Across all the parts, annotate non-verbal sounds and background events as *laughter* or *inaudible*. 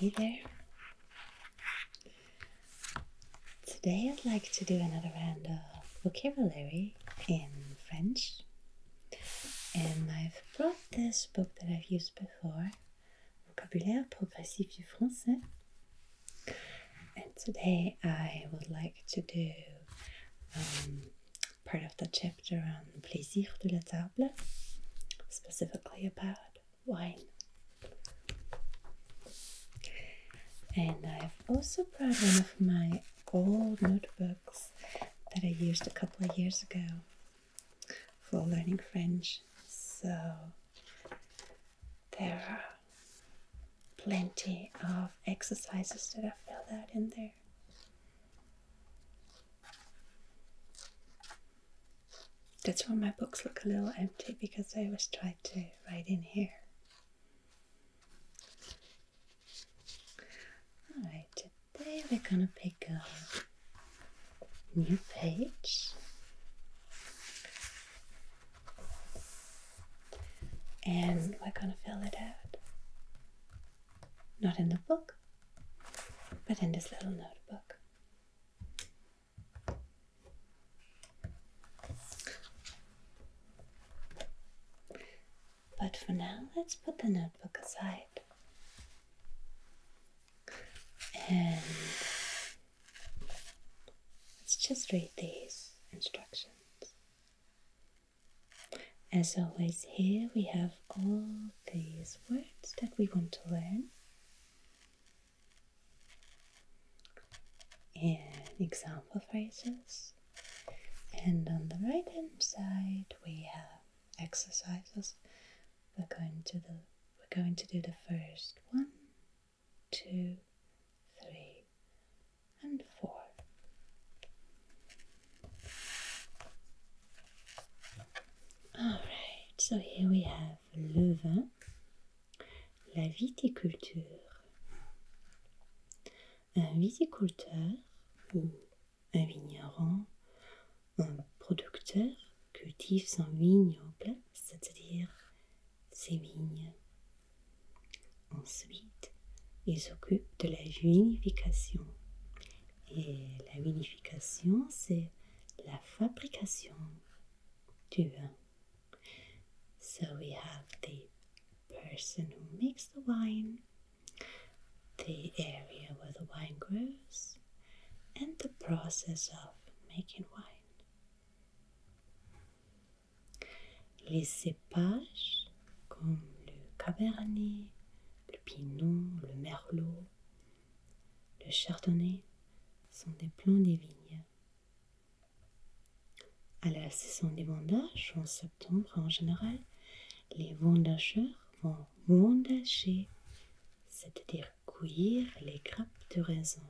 Hey there. Today I'd like to do another round of vocabulary in French and I've brought this book that I've used before, Vocabulaire Progressif du Français. And today I would like to do um, part of the chapter on Plaisir de la Table, specifically about wine. And I've also brought one of my old notebooks that I used a couple of years ago for learning French. So there are plenty of exercises that I filled out in there. That's why my books look a little empty because I always try to write in here. Alright, today we're gonna pick a new page and we're gonna fill it out. Not in the book, but in this little notebook. But for now, let's put the notebook aside and let's just read these instructions. As always, here we have all these words that we want to learn. And example phrases. And on the right hand side, we have exercises we're going to the we're going to do the first one, two, three, and four. Alright, so here we have le la viticulture. Un viticulteur ou un vigneron, un producteur cultive son vignoble, en c'est-à-dire ses vignes. Ensuite, ils s'occupe de la vinification. Et la vinification, c'est la fabrication du vin. So we have the person who makes the wine, the area where the wine grows, and the process of making wine. Les cépages comme le cabernet, le pinot, le merlot, le chardonnay sont des plants des vignes. À la saison des vendages, en septembre en général, les vendageurs vont vendager c'est-à-dire cuire les grappes de raisin.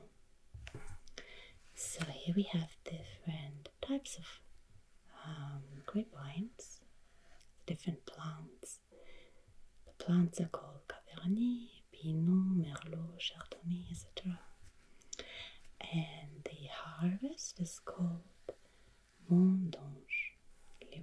So here we have different types of um, grapevines, different plants. The plants are called Cabernet, Pinot, Merlot, Chardonnay, etc. And the harvest is called mondange. Les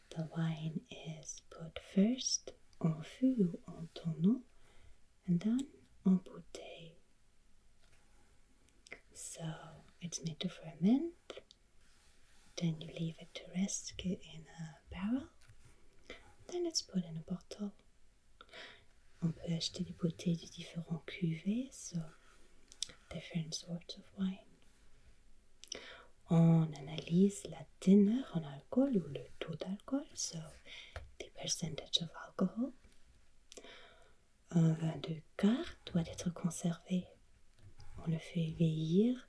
The wine is put first on fût en tonneau and then on bouteille. So it's made to ferment, then you leave it to rest in a barrel, then it's put in a bottle. On peut acheter des bouteilles de différents cuvées, so different sorts of wine. On analyse la teneur en alcool ou le taux d'alcool, so the percentage of alcohol. Un vin de garde doit être conservé. On le fait vieillir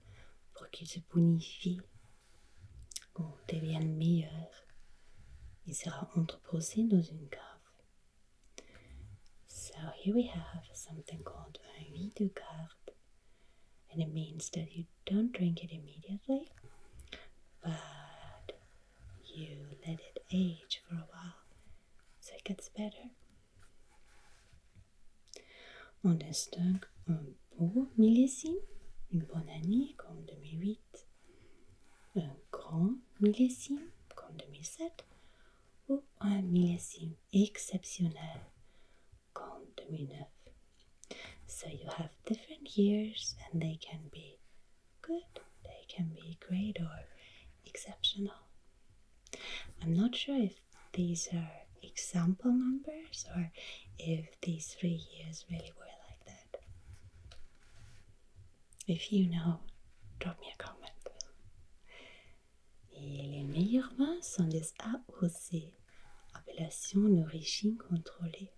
pour qu'il se bonifie ou devienne meilleur. Il sera entreposé dans une cave. So here we have something called un vin de garde. and it means that you don't drink it immediately, but you let it age for a while so it gets better. On distingue un beau une bonne année comme 2008, un grand millésime comme 2007 ou un millésime exceptionnel count minaf. So you have different years and they can be good, they can be great or exceptional. I'm not sure if these are example numbers or if these three years really were like that. If you know, drop me a comment. Et les meilleurs vins sont des AOC, Appellation d'origine contrôlée.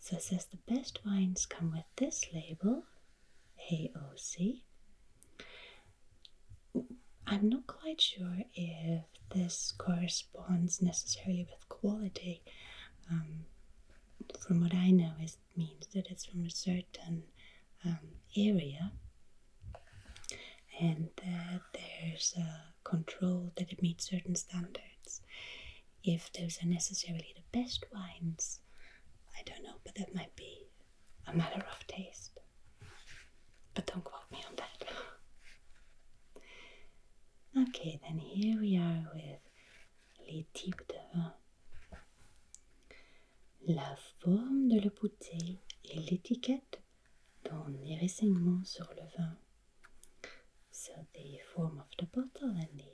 So it says the best wines come with this label, AOC. I'm not quite sure if this corresponds necessarily with quality. Um, from what I know, it means that it's from a certain um, area and that there's a control that it meets certain standards. If those are necessarily the best wines, I don't know, but that might be a matter of taste. But don't quote me on that. okay, then here we are with les types de vin. La forme de la bouteille et l'étiquette Dans les renseignements sur le vin. So the form of the bottle and the,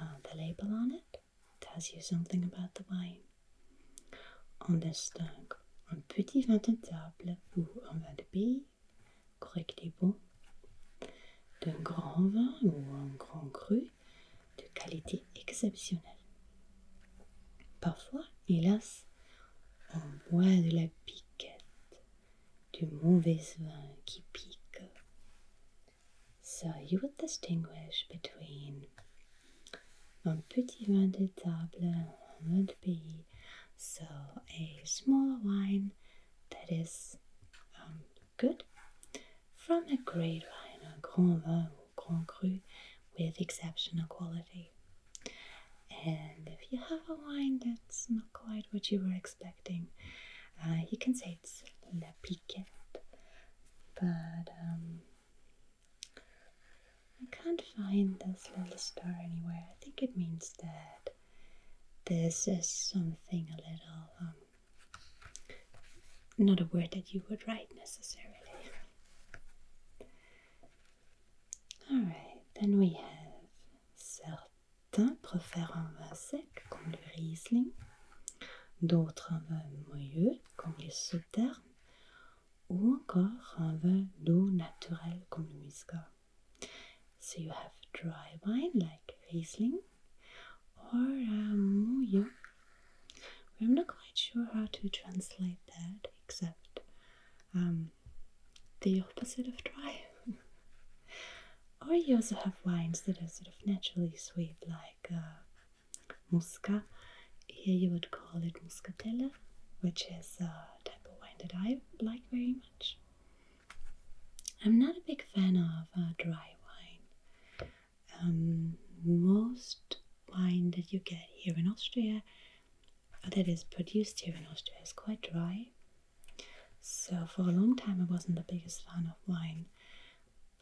uh, the label on it tells you something about the wine. On distingue un petit vin de table ou un vin de pays, correct et bon, d'un grand vin ou un grand cru de qualité exceptionnelle. Parfois, hélas, au bois de la piquette du mauvais vin qui pique. So you would distinguish between un petit vin de table in another pays, so a small wine that is um, good, from a great wine, a grand vin or grand cru with exceptional quality. And if you have a wine that's not quite what you were expecting, uh, you can say it's la piquette. But um, I can't find this little star anywhere. I think it means that this is something a little, um, not a word that you would write necessarily. Alright, then we have certain préfèrent un vin sec comme le Riesling, d'autres un vin moelleux comme les Sauternes, ou encore un vin d'eau naturelle comme le Muscat. So you have dry wine like Riesling or uh, moelleux. I'm not quite sure how to translate that except um, the opposite of dry. *laughs* or you also have wines that are sort of naturally sweet, like uh, Here you would call it muscatella, which is a type of wine that I like very much. I'm not a big fan of uh, dry wine. Um, most wine that you get here in Austria that is produced here in Austria is quite dry. So for a long time I wasn't the biggest fan of wine,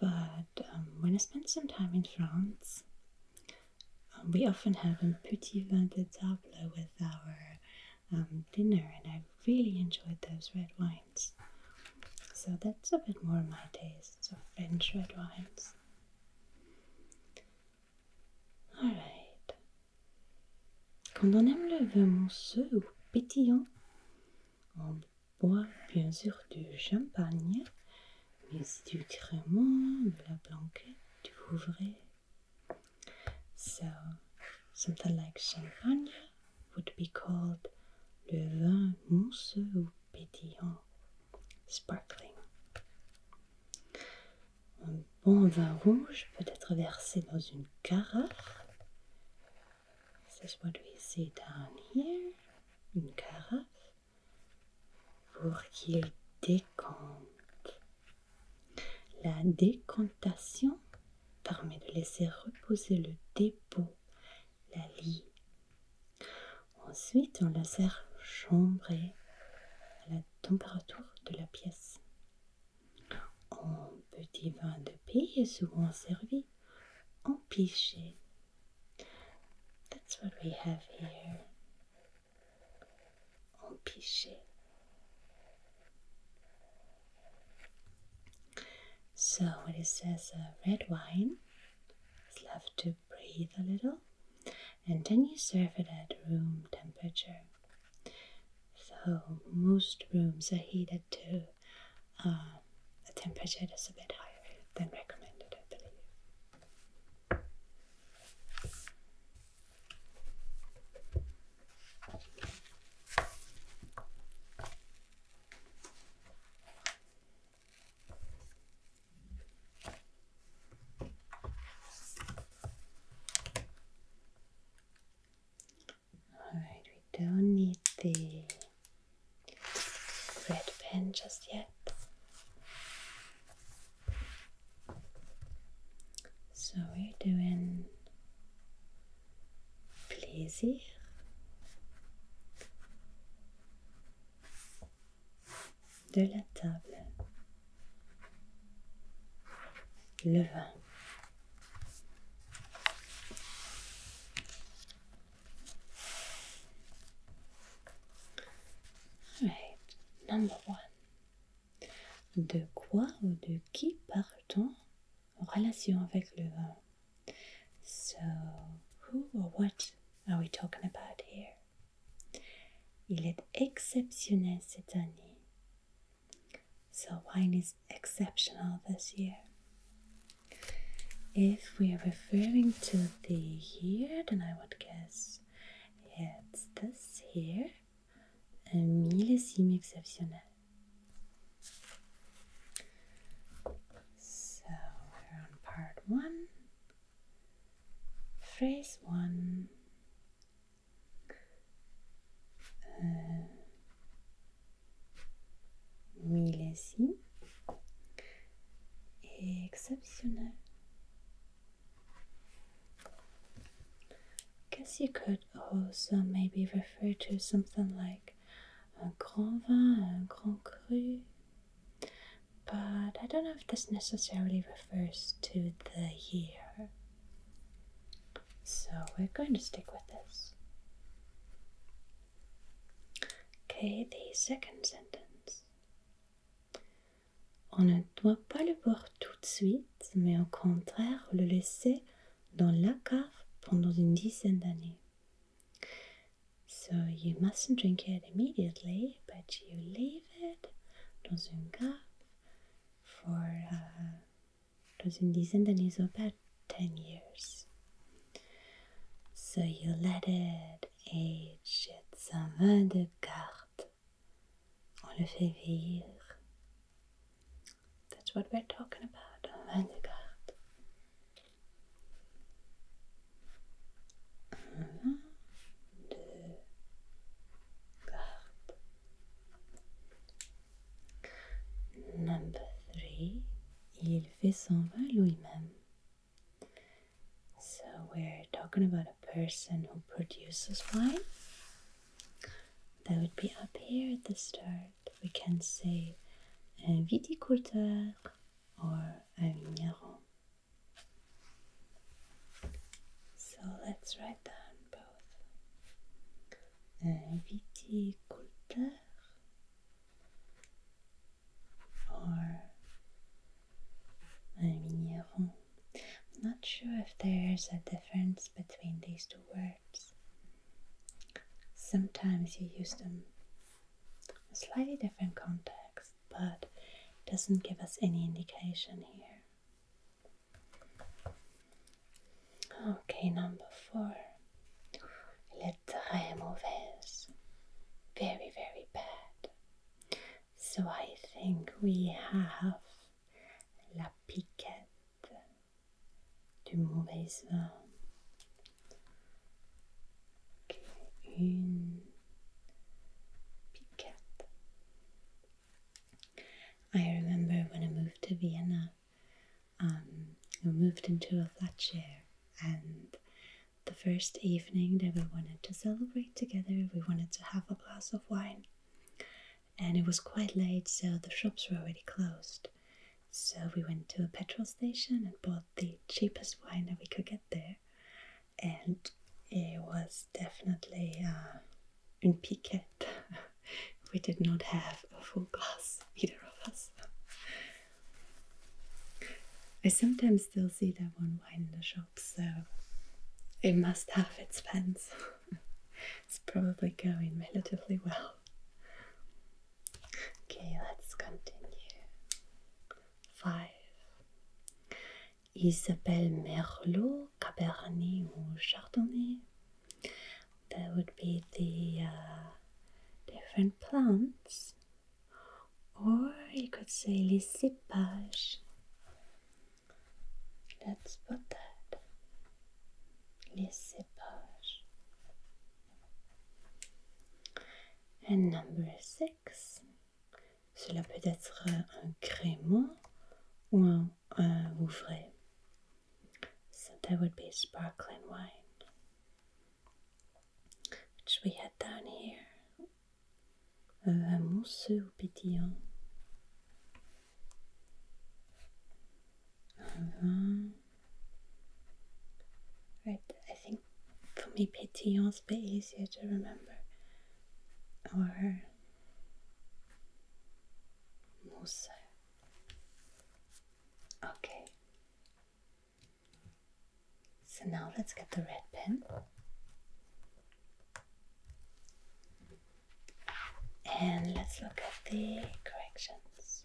but um, when I spent some time in France, um, we often have a petit vin de table with our um, dinner, and I really enjoyed those red wines. So that's a bit more my taste, so French red wines. Quand on aime le vin mousseux ou pétillant, on boit bien sûr du champagne, mais du crément, de la blanquette, du quelque So, something like champagne would be called le vin mousseux ou pétillant, sparkling un bon vin rouge peut-être versé dans une carafe. ce down Une carafe pour qu'il décompte. La décantation permet de laisser reposer le dépôt, la lie. Ensuite, on la sert chambrée temperature de la pièce. Un petit vin de pays est souvent servi en pichet. That's what we have here. En pichet. So it says uh, red wine is left to breathe a little, and then you serve it at room temperature. So, most rooms are heated to a uh, temperature that's a bit higher than recommended, I believe. Alright, we don't need the red pen just yet. So we're doing plaisir. de la table. Le vin. Right, number one. De quoi ou de qui parle-t-on en relation avec le vin? So, who or what are we talking about here? Il est exceptionnel cette année. So wine is exceptional this year. If we are referring to the year, then I would guess it's this year. un millésime exceptionnel. So we're on part one. Phrase one uh, Millesi Guess you could also maybe refer to something like a grand vin, a grand cru but I don't know if this necessarily refers to the year. So we're going to stick with this. Okay, the second sentence. On ne doit pas le boire tout de suite, mais au contraire le laisser dans la cave pendant une dizaine d'années. So you mustn't drink it immediately, but you leave it dans une cave for uh, Rosindisen and his about 10 years. So you let it age, it's un vin de carte. On le fait vieillir. That's what we're talking about, un vin de Number 3. Il fait s'en va lui-même. So we're talking about a person who produces wine. That would be up here at the start. We can say un viticulteur or un vigneron. So let's write down both. viticulteur or vigneron. I'm not sure if there's a difference between these two words. Sometimes you use them in slightly different contexts, but it doesn't give us any indication here. Okay, number four. Elle est très Very, very bad. So I think we have la piquette du mauvais vin. Okay, une piquette I remember when I moved to Vienna, um, we moved into a flat share, and the first evening that we wanted to celebrate together, we wanted to have a glass of wine. And it was quite late, so the shops were already closed. So we went to a petrol station and bought the cheapest wine that we could get there and it was definitely uh, un *laughs* we did not have a full glass, *laughs* either of us. I sometimes still see that one wine in the shop, so it must have its fans. *laughs* it's probably going relatively well. Okay, let's continue. Five. Ils Merlot, Cabernet or Chardonnay. That would be the uh, different plants. Or you could say les cépages. Let's put that. Les cépages. And number six. Cela peut être euh, un crémant ou un, un So that would be sparkling wine, which we had down here. Un vin ou pétillant. Un vin. Right, I think for me is a bit easier to remember. Or more Okay. So now let's get the red pen. And let's look at the corrections.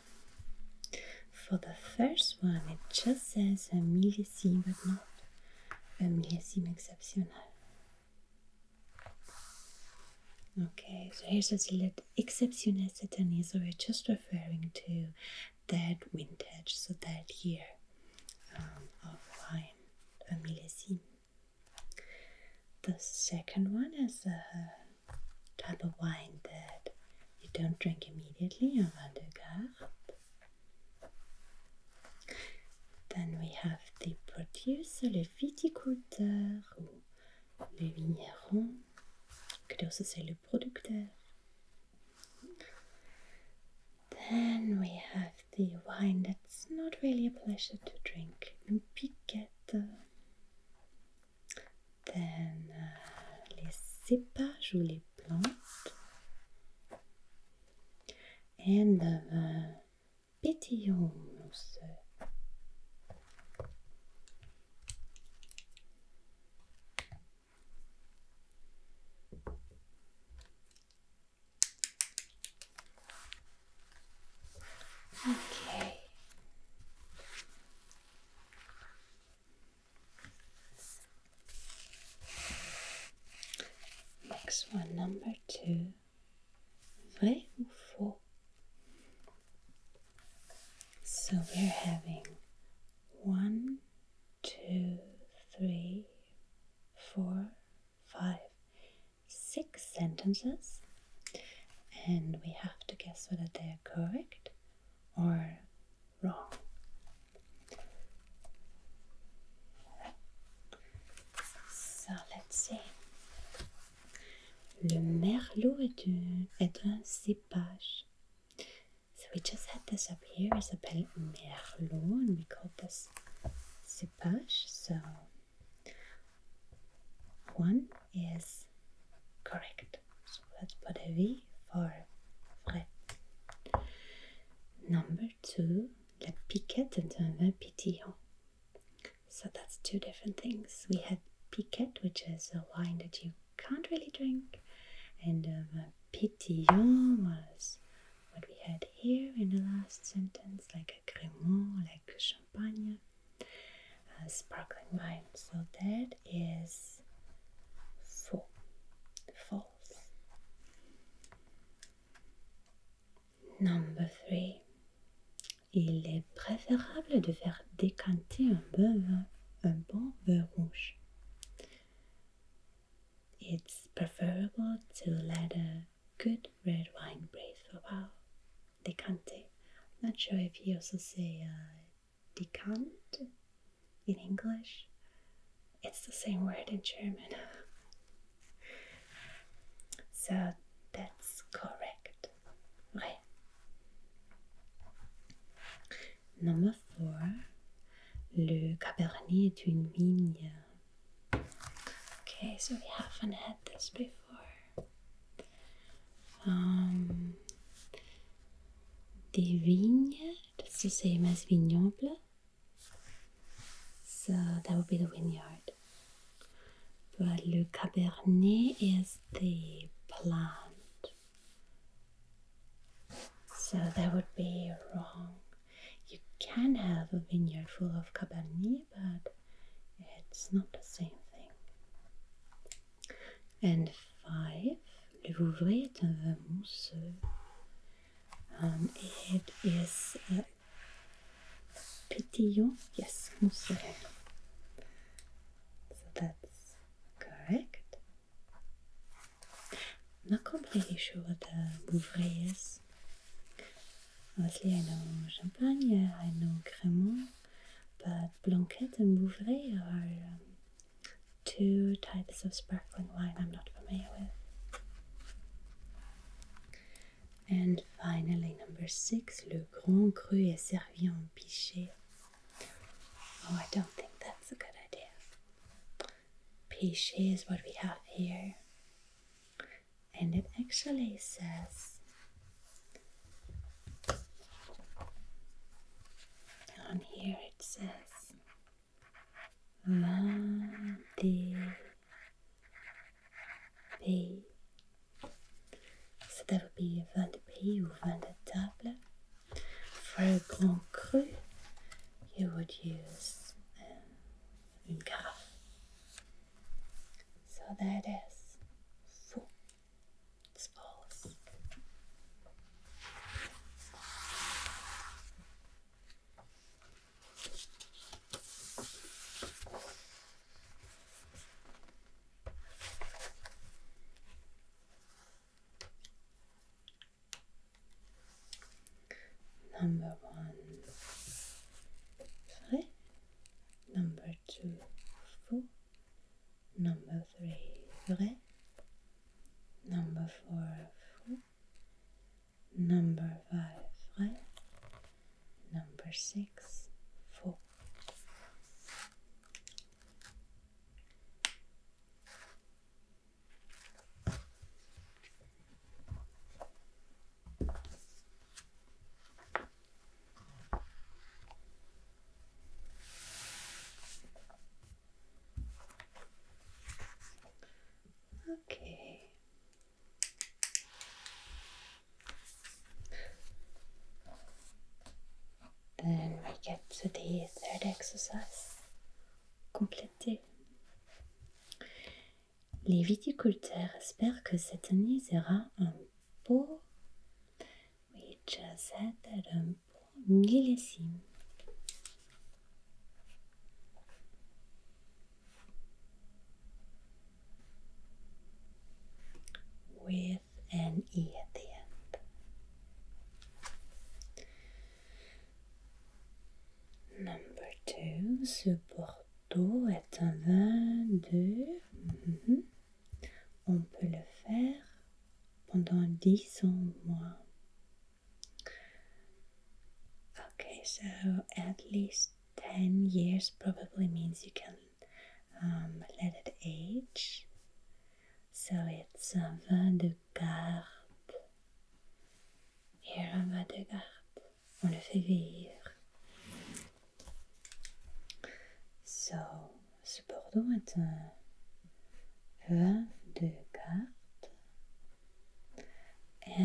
For the first one, it just says a millésime, but not a millésime exceptional. Okay, so here's a select exceptionnel cette année, so we're just referring to that vintage, so that year um, of wine, a millésime. The second one is a type of wine that you don't drink immediately on vin de Then we have the producer, le viticulteur ou vigneron, could also say le producteur. Then we have the wine that's not really a pleasure to drink, piquette. certaines uh, les cépages ou les plantes and the petioles. Ok. Next one, number two, three, four. So we're having one, two, three, four, five, six sentences, and we have to guess whether they're correct or wrong. So let's see. Le merlot est, une, est un cépage. So we just had this up here. It's a merlot, and we call this cépage. So one is correct. So let's put a V for frais. Number two, la piquette and un vin pétillant. So that's two different things. We had piquette, which is a wine that you can't really drink, and um, was what we had here in the last sentence, like a crémant, like champagne, a uh, sparkling wine. So that word is faux, false. Number three. Il est préférable de faire décanter un bon vin, un bon vin rouge. It's preferable to let a good red wine breathe for a while. Decante. Not sure if he also say uh, Decant in English. It's the same word in German. *laughs* so that's correct. Right. Number four. Le Cabernet est une vigne. Okay, so we haven't had this before. Um, the vigne that's the same as vignoble, So that would be the vineyard. But Le Cabernet is the plant. So that would be wrong. You can have a vineyard full of Cabernet, but it's not the same thing. And five Le Louvret est un vin mousseux. Euh, um, it is a euh, pétillant, yes, mousseux. So that's correct. I'm not completely sure what the Louvret is. Obviously, I know champagne, I know crémant, but blanquette and Bouvray are um, two types of sparkling wine I'm not familiar with. And finally, number six, Le Grand Cru est servi en pichet. Oh, I don't think that's a good idea. Pichet is what we have here. And it actually says on here it says Vendée So that would be de pays or de table. For a Grand Cru, you would use um, a carafe. So that is four spoils. Number one, three. Number two, four. Number three, vrai number four, number five, five, number six, four. Okay. Then we get to the third exercise. complété. Les viticulteurs espèrent que cette année sera un beau. We Liliacine. With an E at the end. Number two, ce Bordeaux est un vin mm-hmm, On peut le faire pendant dix ans mois. Okay, so at least 10 years probably means you can um, let it age. So it's uh, a vin de garde. Here, un vin de garde. On le fait vieillir. So, this Bordeaux is a vin de garde. Et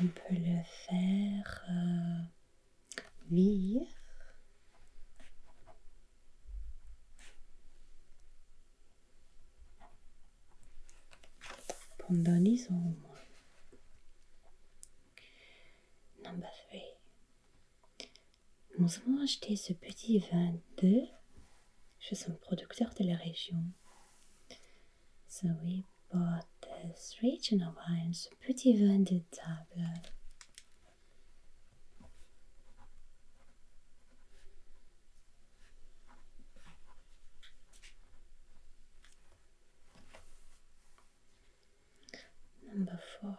on peut le faire euh, virer pendant 10 ans au moins. Number 3. Nous avons acheté ce petit 22 je suis un producteur de la région. So we bought this regional ce petit vin de table. Number four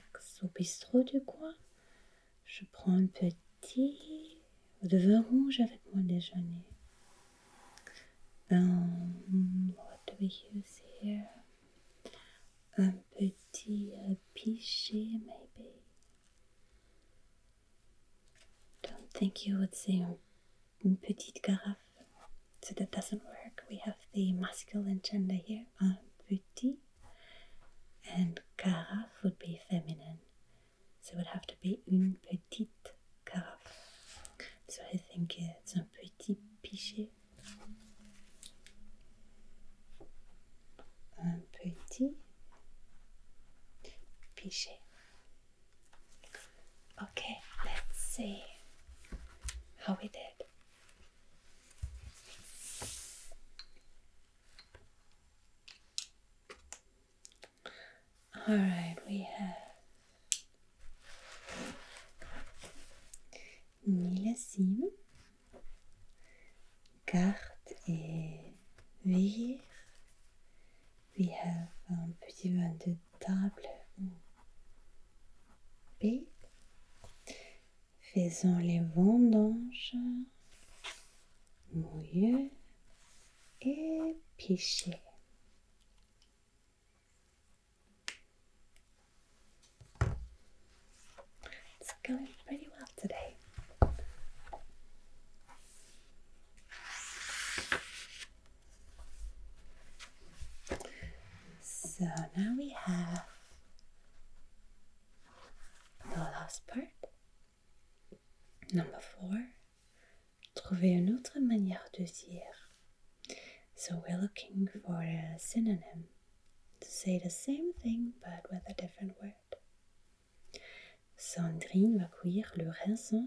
au bistrot du coin. Je prends un petit de vin rouge avec mon déjeuner. Ben, what do we use here? Un petit peut pichet, maybe. Don't think you would say une petite carafe. So that doesn't work. We have the masculine gender here. Un petit and carafe would be feminine. So it would have to be une petite carafe. So I think it's un petit pichet. Un petit pichet. Okay, let's see how we did. All right, we have Nilassim, Carte et Veir. We have un um, petit vin de table ou B. Faisons les vendanges, mouilleux et piché. It's going pretty well today. So now we have The last part. Number four. Trouver une autre manière de dire. So we're looking for a synonym to say the same thing but with a different word. Sandrine va cueillir le raisin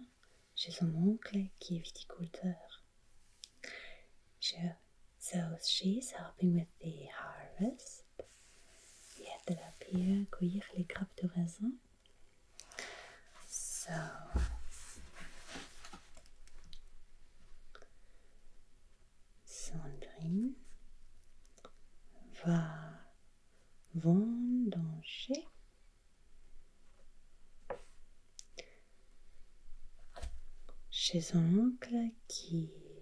chez son oncle qui est viticulteur. Je so she's helping with the harvest. Je hebt er op hier koeierlijk krap te So Sandrine va vendanger chez oncle qui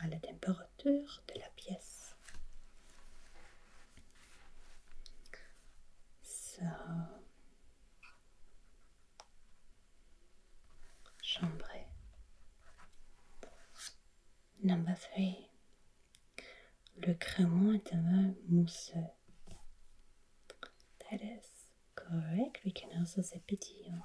à la température de la pièce. So, chambre Number 3. Le crayon est un mousseux. That is correct. We can also say pétillant.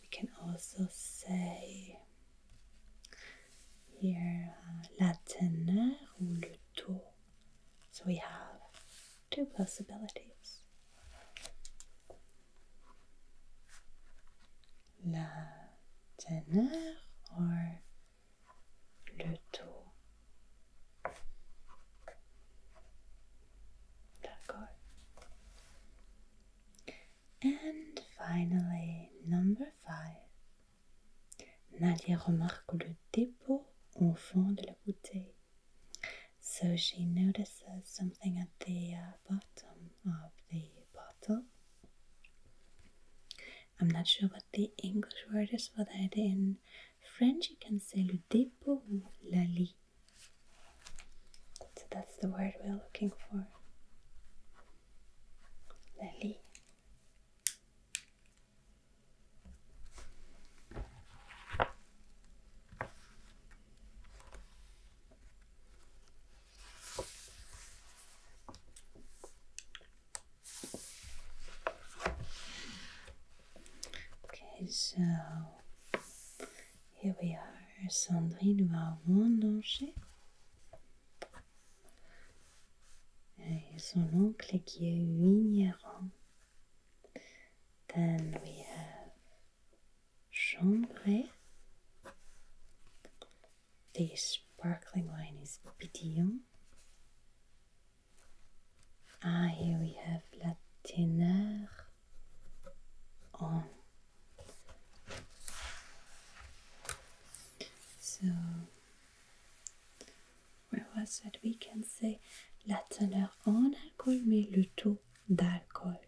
We can also say here uh, la teneur ou le tour. So we have two possibilities. La teneur or le tour. And finally, number five. Nadia remarque le dépôt au fond de la bouteille. So she notices something at the uh, bottom of the bottle. I'm not sure what the English word is for that. In French, you can say le dépôt, la lie. So that's the word we're looking for. Lily. Okay, so here we are, Sandrine va ranger. Et son uncle qui est vigneron. Then we have Chambray. This sparkling wine is Pidillon. Ah, here we have La on. Oh. So, where was that? We can say la teneur on alcool, mais le taux d'alcol.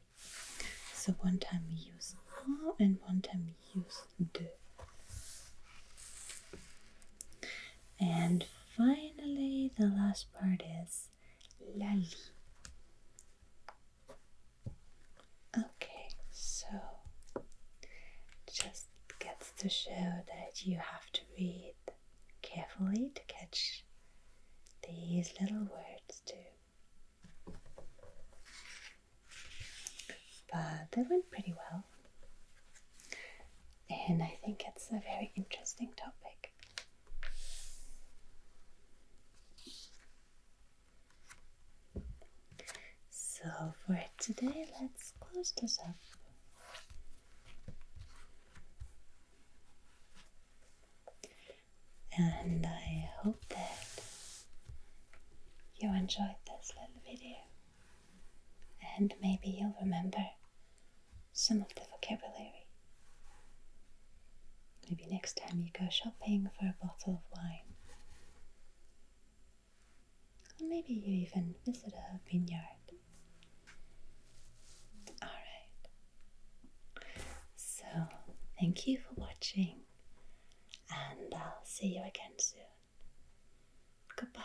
So, one time we use un and one time we use deux. And finally, the last part is Lali. Okay, so just gets to show that you have to read carefully to catch these little words too. But they went pretty well. And I think it's a very interesting topic. So, for today, let's close this up. And I hope that you enjoyed this little video. And maybe you'll remember some of the vocabulary Maybe next time you go shopping for a bottle of wine. Or maybe you even visit a vineyard. Alright. So, thank you for watching, and I'll see you again soon. Goodbye.